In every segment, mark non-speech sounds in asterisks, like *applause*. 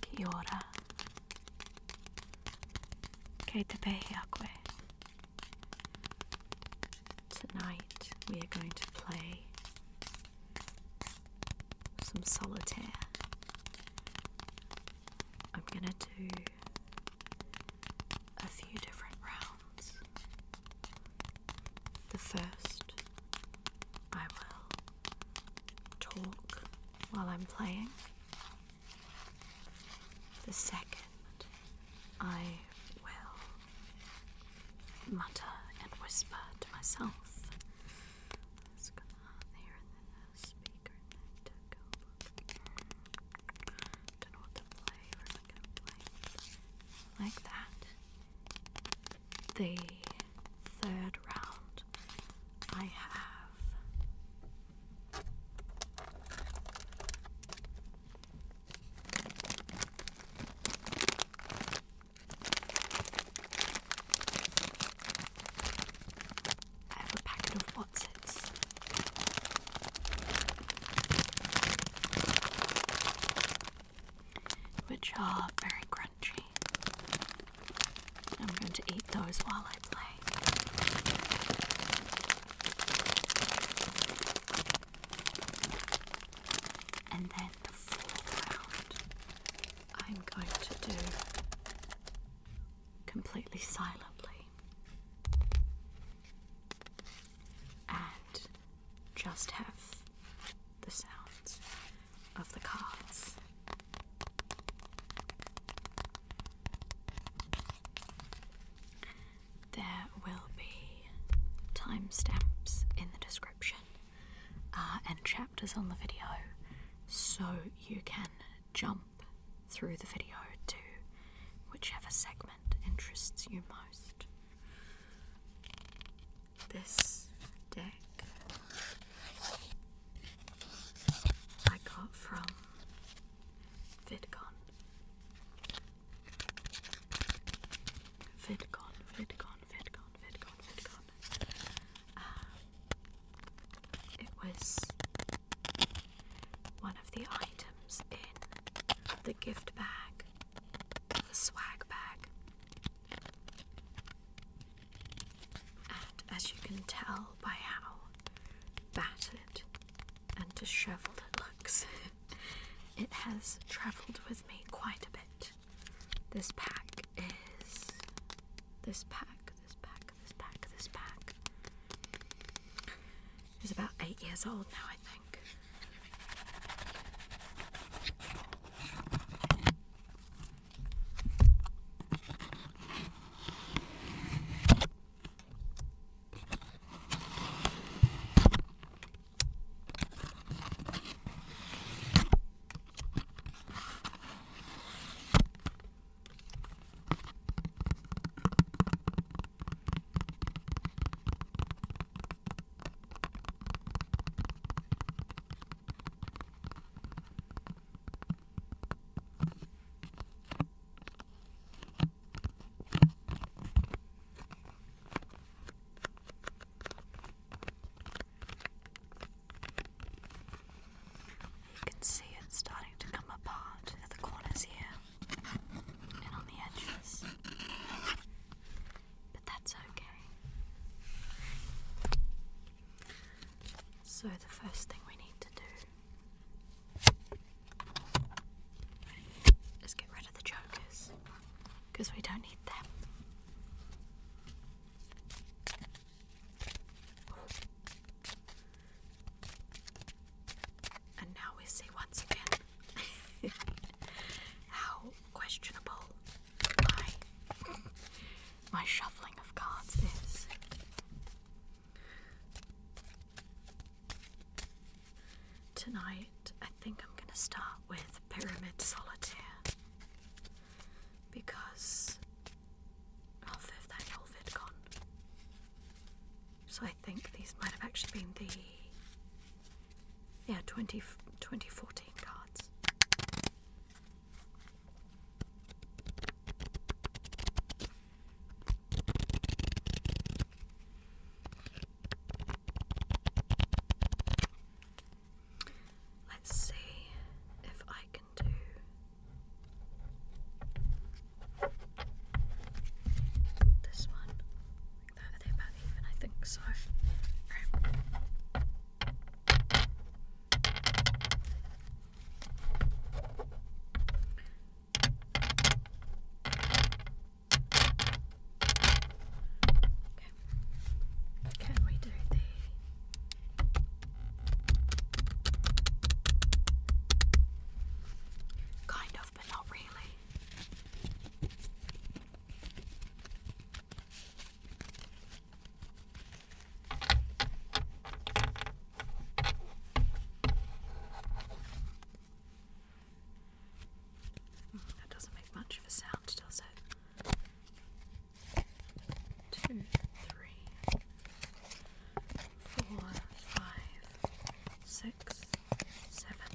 Kia ora. Kei te pehi Tonight we are going to play some solitaire. I'm gonna do a few different rounds. The first, I will talk while I'm playing. The second, I will mutter and whisper to myself like that. The third round, I have I have a packet of what's which are very crunchy. I'm going to eat those while I play. And then the fourth round, I'm going to do completely silently and just have the sounds of the cards. There will be timestamps in the description uh, and chapters on the video so you can jump through the video to whichever segment interests you most. This deck I got from VidCon. VidCon, VidCon, VidCon, VidCon, VidCon. Uh, it was one of the items in the gift bag, the swag bag. And as you can tell by how battered and disheveled it looks, *laughs* it has travelled with me quite a bit. This pack is. This pack, this pack, this pack, this pack He's about eight years old now, I think. You can see it's starting to come apart at the corners here. But that's okay. So, the first thing we need to do is get rid of the chokers because we don't need them. And now we see once again *laughs* how questionable my, my shuffling of cards is. Tonight, I think I'm going to start with Pyramid Solitaire because of 5th Annual VidCon. So I think these might have actually been the yeah 20, 2014 cards. Let's see if I can do this one. Like that. Are about even? I think so. Okay. Can we do the Kind of. Mm, that doesn't make much of a sound, does it? Two, three, four, five, six, seven,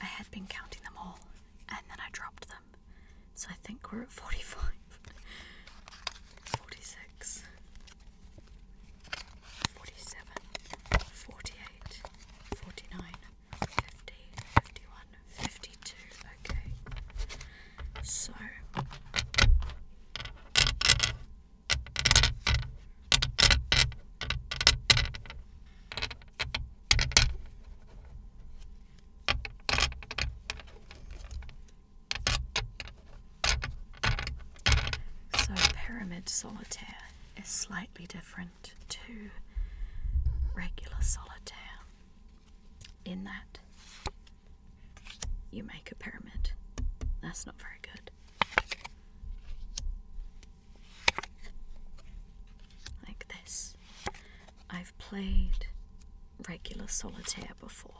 I had been counting them all and then I dropped them. So I think we're at 45. 46. 47. 48. 49. 50. 51. 52. Okay. So so, pyramid solitaire is slightly different to regular solitaire in that you make a pyramid. That's not very good. Like this. I've played regular solitaire before.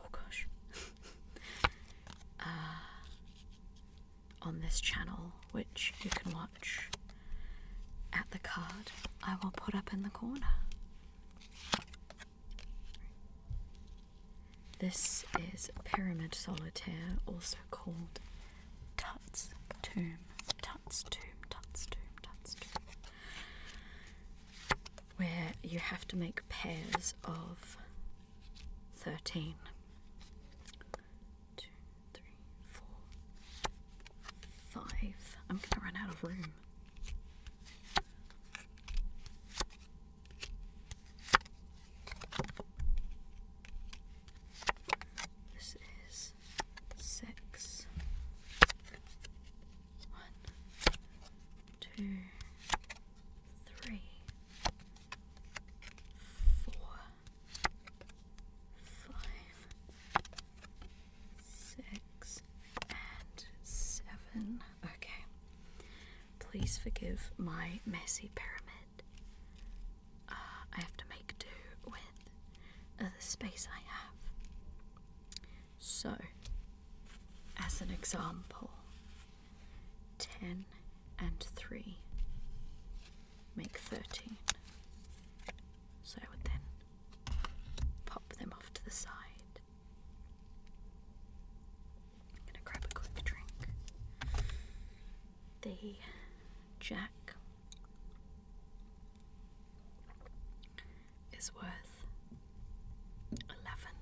Oh gosh. *laughs* uh, on this channel, which you can watch at the card I will put up in the corner. This is Pyramid Solitaire, also called Tut's Tomb. Tut's Tomb, Tut's Tomb, Tut's Tomb. Where you have to make pairs of 13. three, four, five. I'm going to run out of room. This is six. One, two, and seven. Okay. Please forgive my messy pyramid. Uh, I have to make do with the space I have. So, as an example, 10 and 3 make 13. So I would then pop them off to the side. I'm gonna grab a quick drink. The Jack is worth eleven.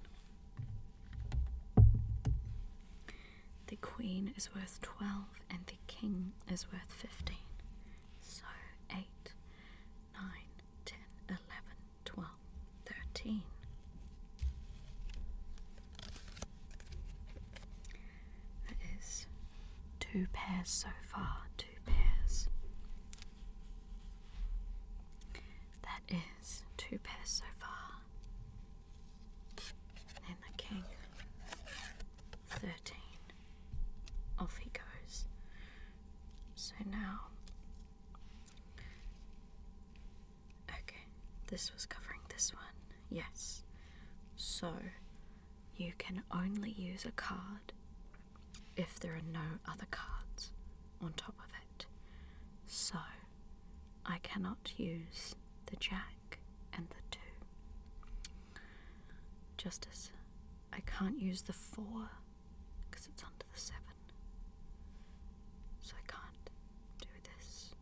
The Queen is worth twelve, and the King is worth fifteen. So eight, nine, ten, eleven, twelve, thirteen. That is two pairs so far, two pairs. That is two pairs so far. And the king. Thirteen. Off he goes. So now Okay, this was covering this one. Yes. So, you can only use a card if there are no other cards on top of it. So, I cannot use the jack and the two. Justice, I can't use the four because it's under the seven. So I can't do this.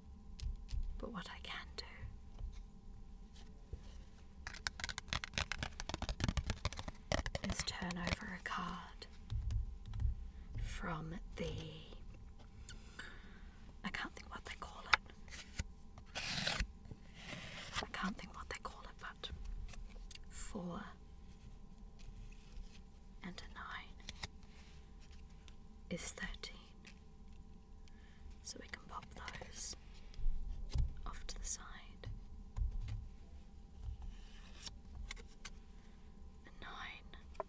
But what I can do. Is turn over a card from the. I can't think what they call it. I can't think what they call it, but four and a nine is thirteen. So we can pop those off to the side. nine.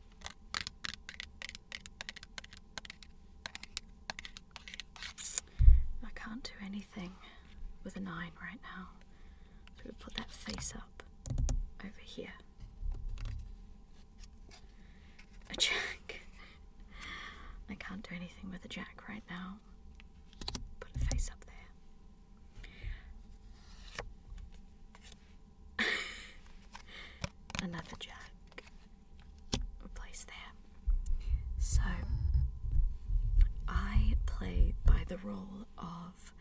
I can't do anything with a nine right now. we put that face up over here. A jack. I can't do anything with a jack right now. Put a face up there. Another jack. Place there. So, I play by the rule of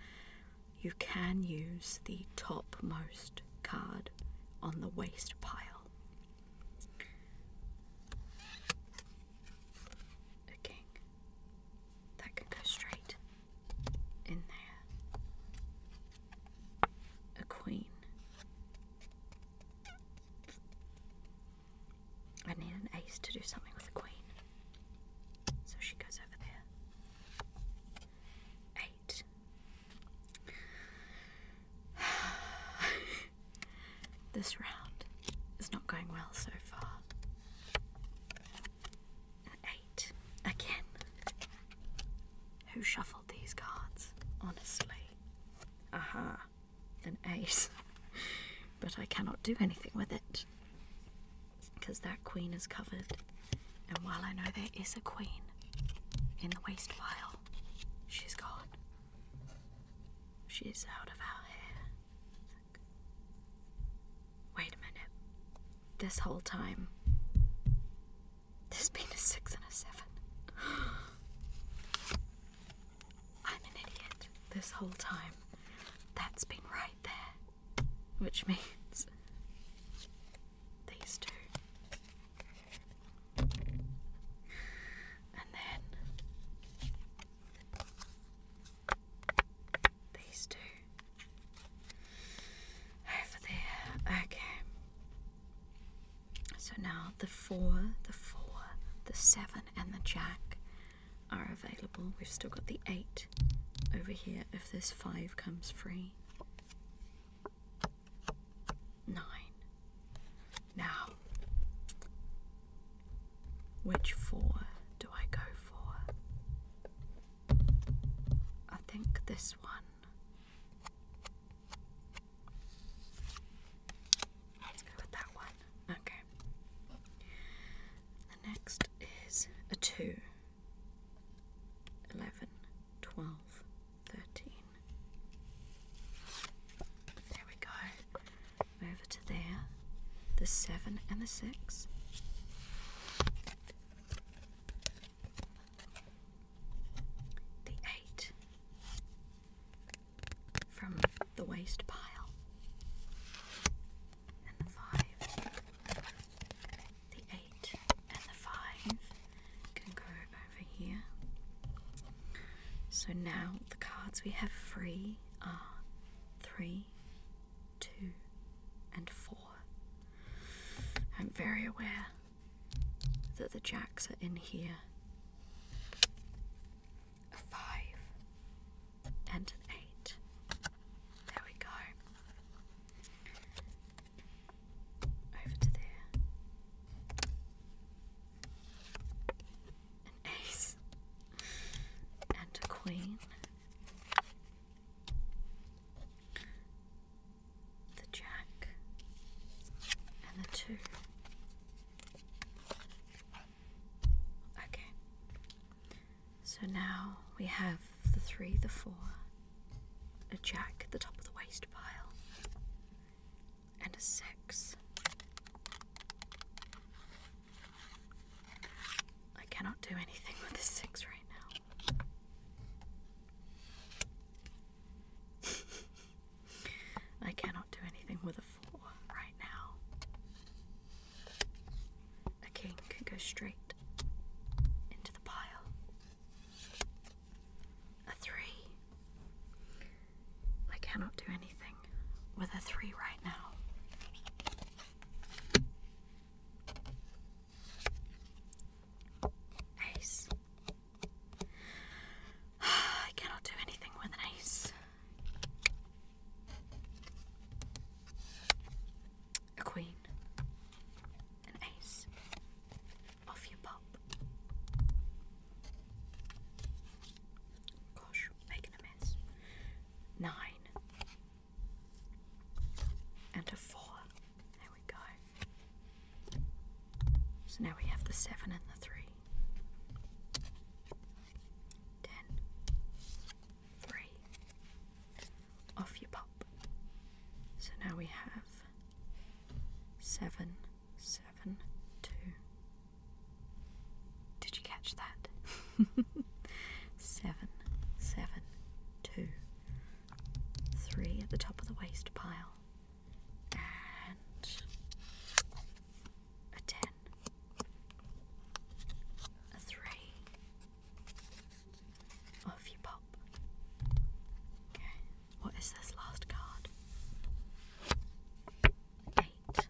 you can use the topmost card on the waste pile. A king. That could go straight in there. A queen. I need an ace to do something with a queen. So she goes over there. *sighs* this round is not going well so far. eight. Again. Who shuffled these cards? Honestly. Aha. An ace. *laughs* but I cannot do anything with it. Because that queen is covered and while I know there is a queen in the waste pile, she's gone. She's out of our hair. Wait a minute. This whole time, there's been a six and a seven. *gasps* I'm an idiot. This whole time, that's been right there. Which means these two. And then these two over there. Okay. So now the four, the four, the seven, and the jack are available. We've still got the eight over here if this five comes free nine. Now, which four do I go for? I think this one. Let's go with that one. Okay. The next is a two. 11, 12, 13. There we go. Over to there. The 7 and the 6. The 8 from the waste pile. And the 5 the 8 and the 5 can go over here. So now the cards we have free are 3, 2, and 4. I'm very aware that the jacks are in here. A 5 and an 8. There we go over to there. An ace and a queen. The jack and the two. Okay, so now we have the three, the four, a jack at the top of the waste pile, and a six. I cannot do anything with this six right now. *laughs* I cannot do anything with a four right now. A king can go straight into the pile. A three. I cannot do anything with a three right now. Ace. *sighs* I cannot do anything with an ace. A queen. An ace. Off you pop. Gosh, making a mess. Nine. And a four. There we go. So now we have the seven and the three. Ten. Off you pop. So now we have seven seven two. Did you catch that? *laughs* seven seven two three at the top of the waste pile and a ten a three off you pop okay what is this last card? Eight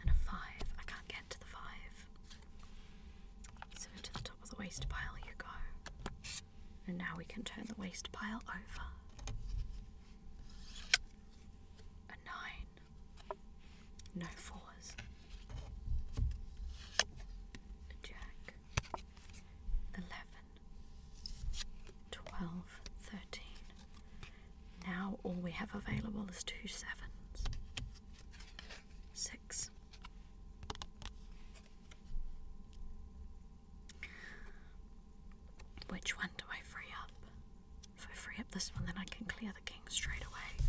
and a five. I can't get to the five. So into the top of the waste pile you go. And now we can turn the waste pile over. A nine. No fours. A jack. Eleven. 12, Now all we have available is two sevens. Six. Which one do I free up? If I free up this one, then I can clear the king straight away.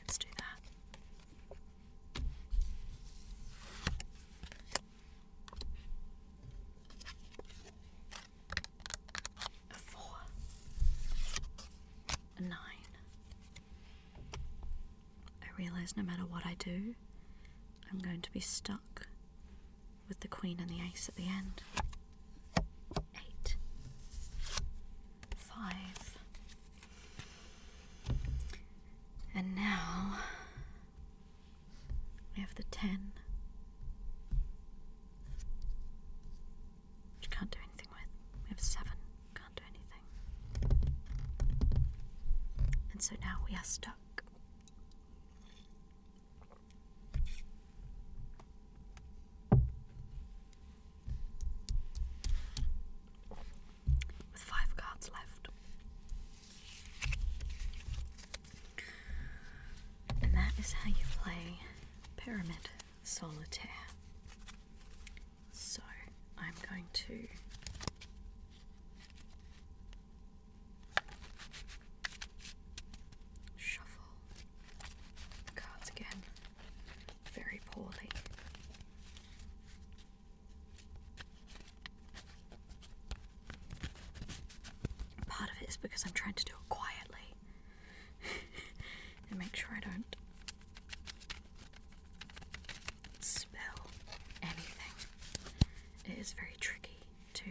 Let's do that a four, a nine. I realize no matter what I do, I'm going to be stuck with the queen and the ace at the end. Eight, five, and now we have the 10. Which can't do anything with. We have 7. Can't do anything. And so now we are stuck with five cards left. And that is how you play Pyramid Solitaire. So I'm going to. Shuffle the cards again very poorly. Part of it is because I'm trying to do it quietly *laughs* and make sure I don't spill anything. It is very tricky to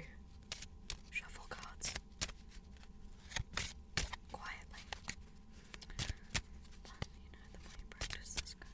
shuffle cards quietly. But you know, the more you practice this kind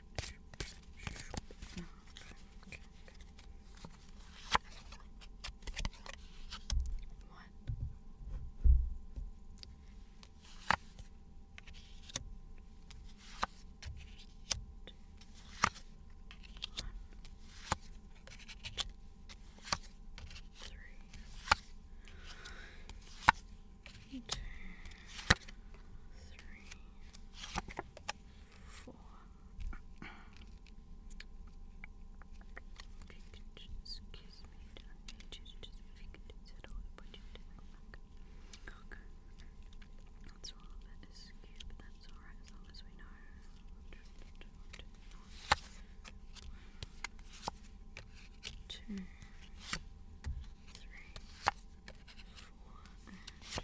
okay, okay, okay. One. Two. One. Three. Two. Three. Four four. Excuse me, don't need you to just figure this out all the budget. Okay. That's all a bit askew, but that's alright as long as we know. Two, three, four, and five.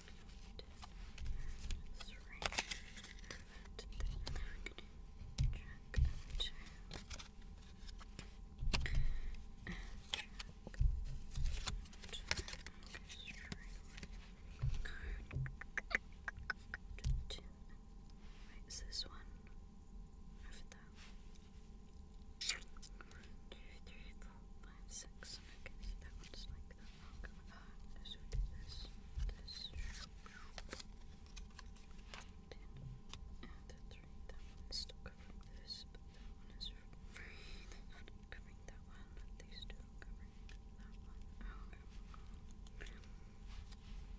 Wait, is this one over there? One, two, three, four, five, six. that one's like that that. So we do this, this, and the three. That one is still covering this, but that one is free. covering that one, these two covering that one.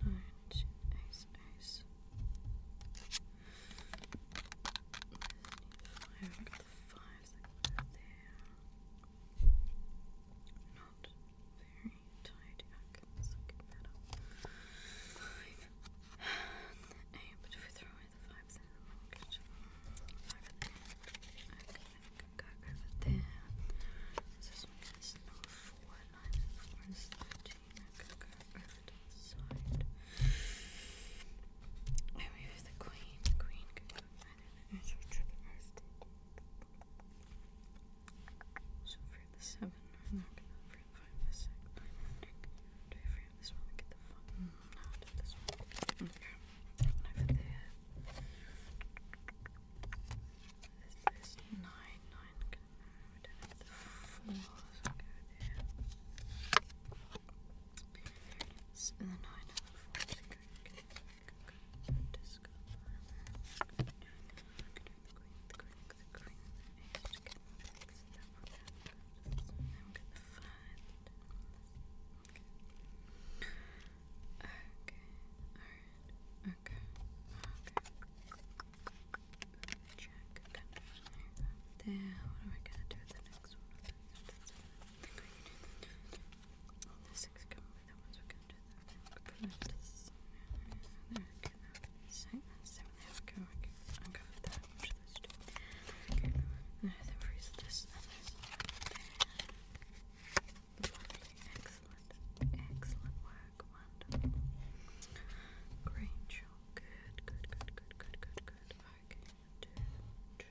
Oh, okay. ice, ice. Five, got the fives there. Not very tidy. I can get that Five. And but if we throw away the five, then we'll get five at Okay, we can go over there. So this one four, nine, and four is can go over to the side. And we have the queen. The queen can go either the edge or to the rest. So for the seven, I'm not gonna free five, the six, nine, nine, Do I free this one? Get the fuck. Mm, this one. Okay. And I fit the Is nine, nine? Can I did the four? So go there. So the nine and the four. go, disco bomber. The green, the green, the green, the I'm gonna find Okay. Okay. Alright. Okay. Okay. Check. Okay. There you go. There. What am I gonna do with the next one? The next one. The six Excellent. Excellent work. Wonderful. Green chalk. Good, good, good, good, good, good, good. Okay.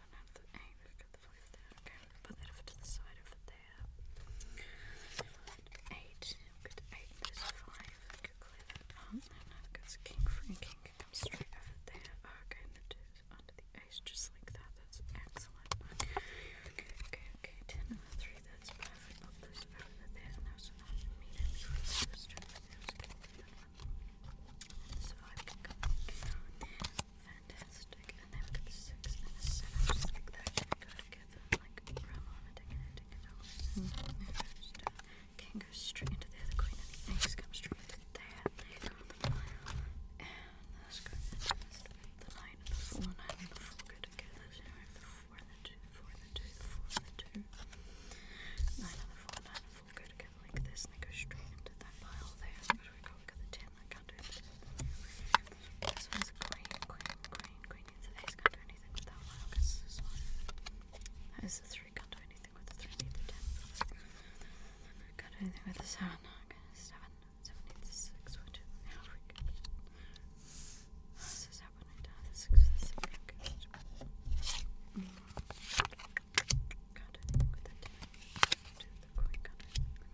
don't have the angle got the five there. Okay, put to the side over there. Eight. Good eight. There's five. I could clear that up. No, no, because king free king comes straight over there. Oh, okay, and under the ace just like that. That's excellent. Okay, okay, okay, Ten and the three. That's perfect. Pop those over there. And those are not immediately straight over there. So and can come down Fantastic. And then we've got the six that go together. Like, brown on a ticket, a ticket, a ticket. straight into the other queen, and the straight into there. They on the mile. And The nine the four, nine the four go together. the four the two, four the two, the four the two. Nine the four, nine the four go together like this, and go straight into that pile there. we go, we got the ten my counter. This one's green, green, green, green. Needs can't do anything with that one. Okay, this is one. That is the three, can't do anything with the three, can Can't do anything with the seven. Okay, seven. Seven needs the six, which is now freaking. This is six, six. Can't do anything with the 10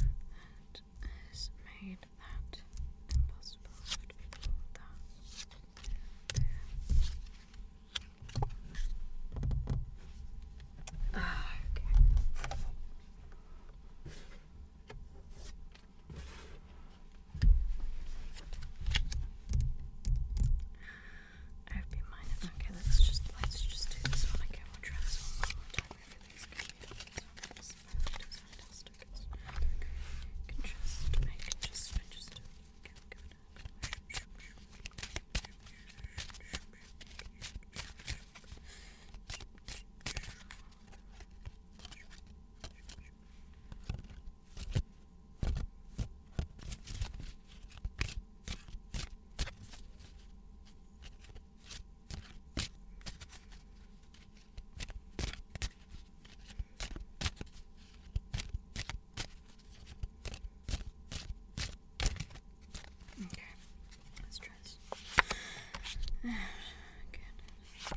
that has made that impossible for ah, that. okay. I hope Okay, let's just let's just do this one release candles from those fantastic. I can just, I can just, I just go, go, go. Good. Okay, let's try this. Again, let's try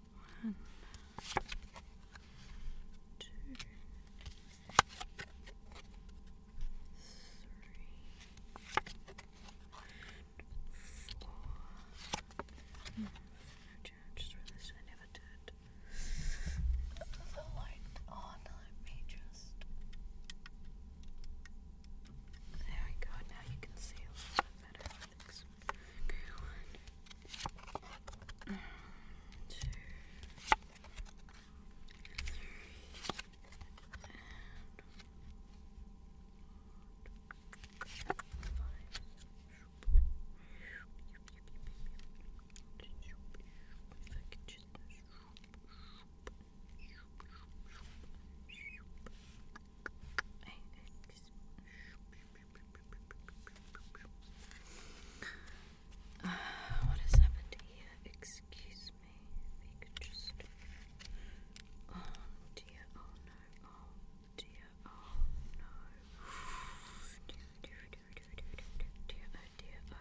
One, two, three, and four. Mm, no I never did. The light on, let me just. There we go, now you can see a little bit better, this okay, one, two, three, and five. If I could just I X uh, *sighs* what has happened here? Excuse me. Oh dear. Oh no. Oh dear. Oh no. oh dear, oh dear, oh dear, oh no, oh dear. Oh,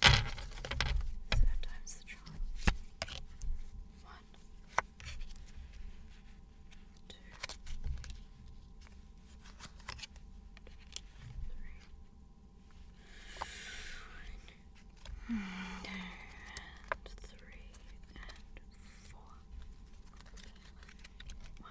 So times the charm. One, two, three, and four. One,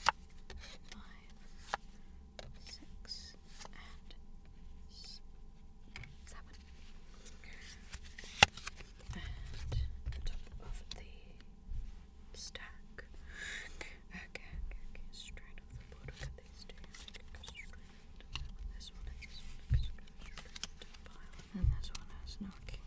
five, six, and seven. And on top of the stack. Okay, Straight off the board, look at these And this one has knocking.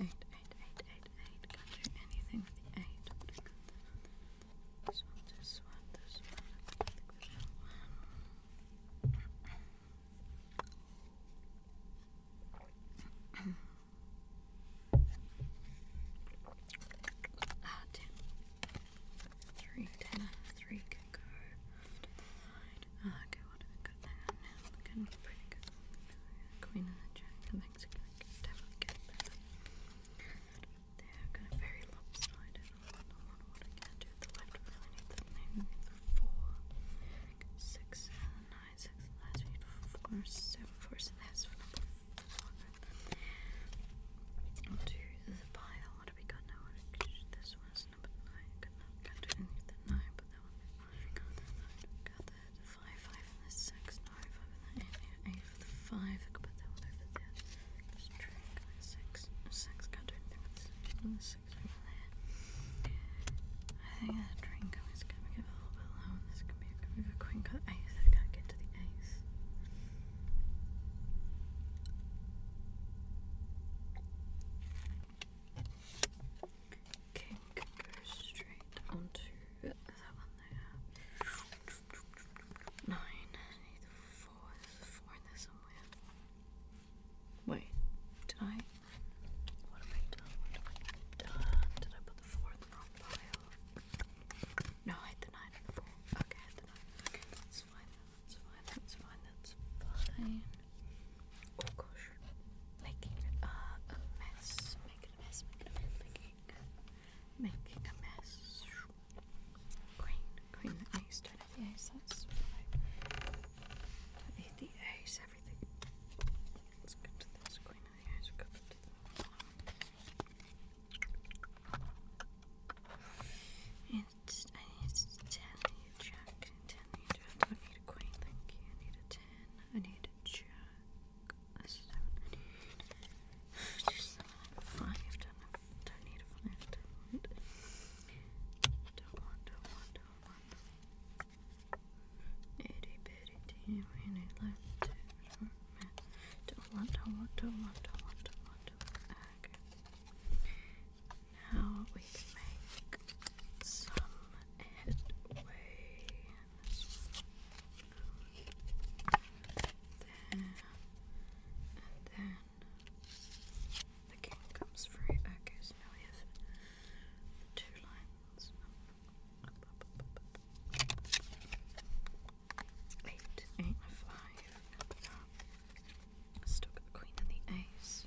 Eight, eight, eight, eight, eight, eight. Can't do anything with the eight. This one, this one, this one. I think this one. ah, ten. Three, ten, three can go. After the line. Ah, okay what have we got there now? pretty good. Queen of the Jack, the Mexican, definitely get They're kind of very lopsided. I don't know what I can do. The left really need the maybe the four, six, seven, nine, six, so there's number four. do we got now? This one's number nine. Can't do anything with the nine, but that one got that five, five and the six, no, the eight, eight for the five, I could put that one over there. six, six, can't the six, and the there. I think that drink is going to give a little bit low, and this could be, a queen, got ace, I can't get to the ace. Okay, we straight onto that one there. Nine. need the four. four in there somewhere. Wait, did I? What have I done? What have I done? Did I put the four in the wrong pile? No, I had the nine and the four. Okay, I had the nine. that's fine. That's fine. That's fine. That's fine. Oh gosh. Making a mess. Making a mess. Making a mess. Making, making a the ace. do the ace. Everything. Let's go to this. Green and the ace. it's, I need to tell you, Jack. I need a queen, I need a ten. I need a jack. I need a five. need a five. Don't want. Don't want. Don't want. Don't want. Don't want. Don't want. Now we can make some and way this one. and then the king comes free. Okay, so now lines. Eight, eight, five, Still got the queen and the ace.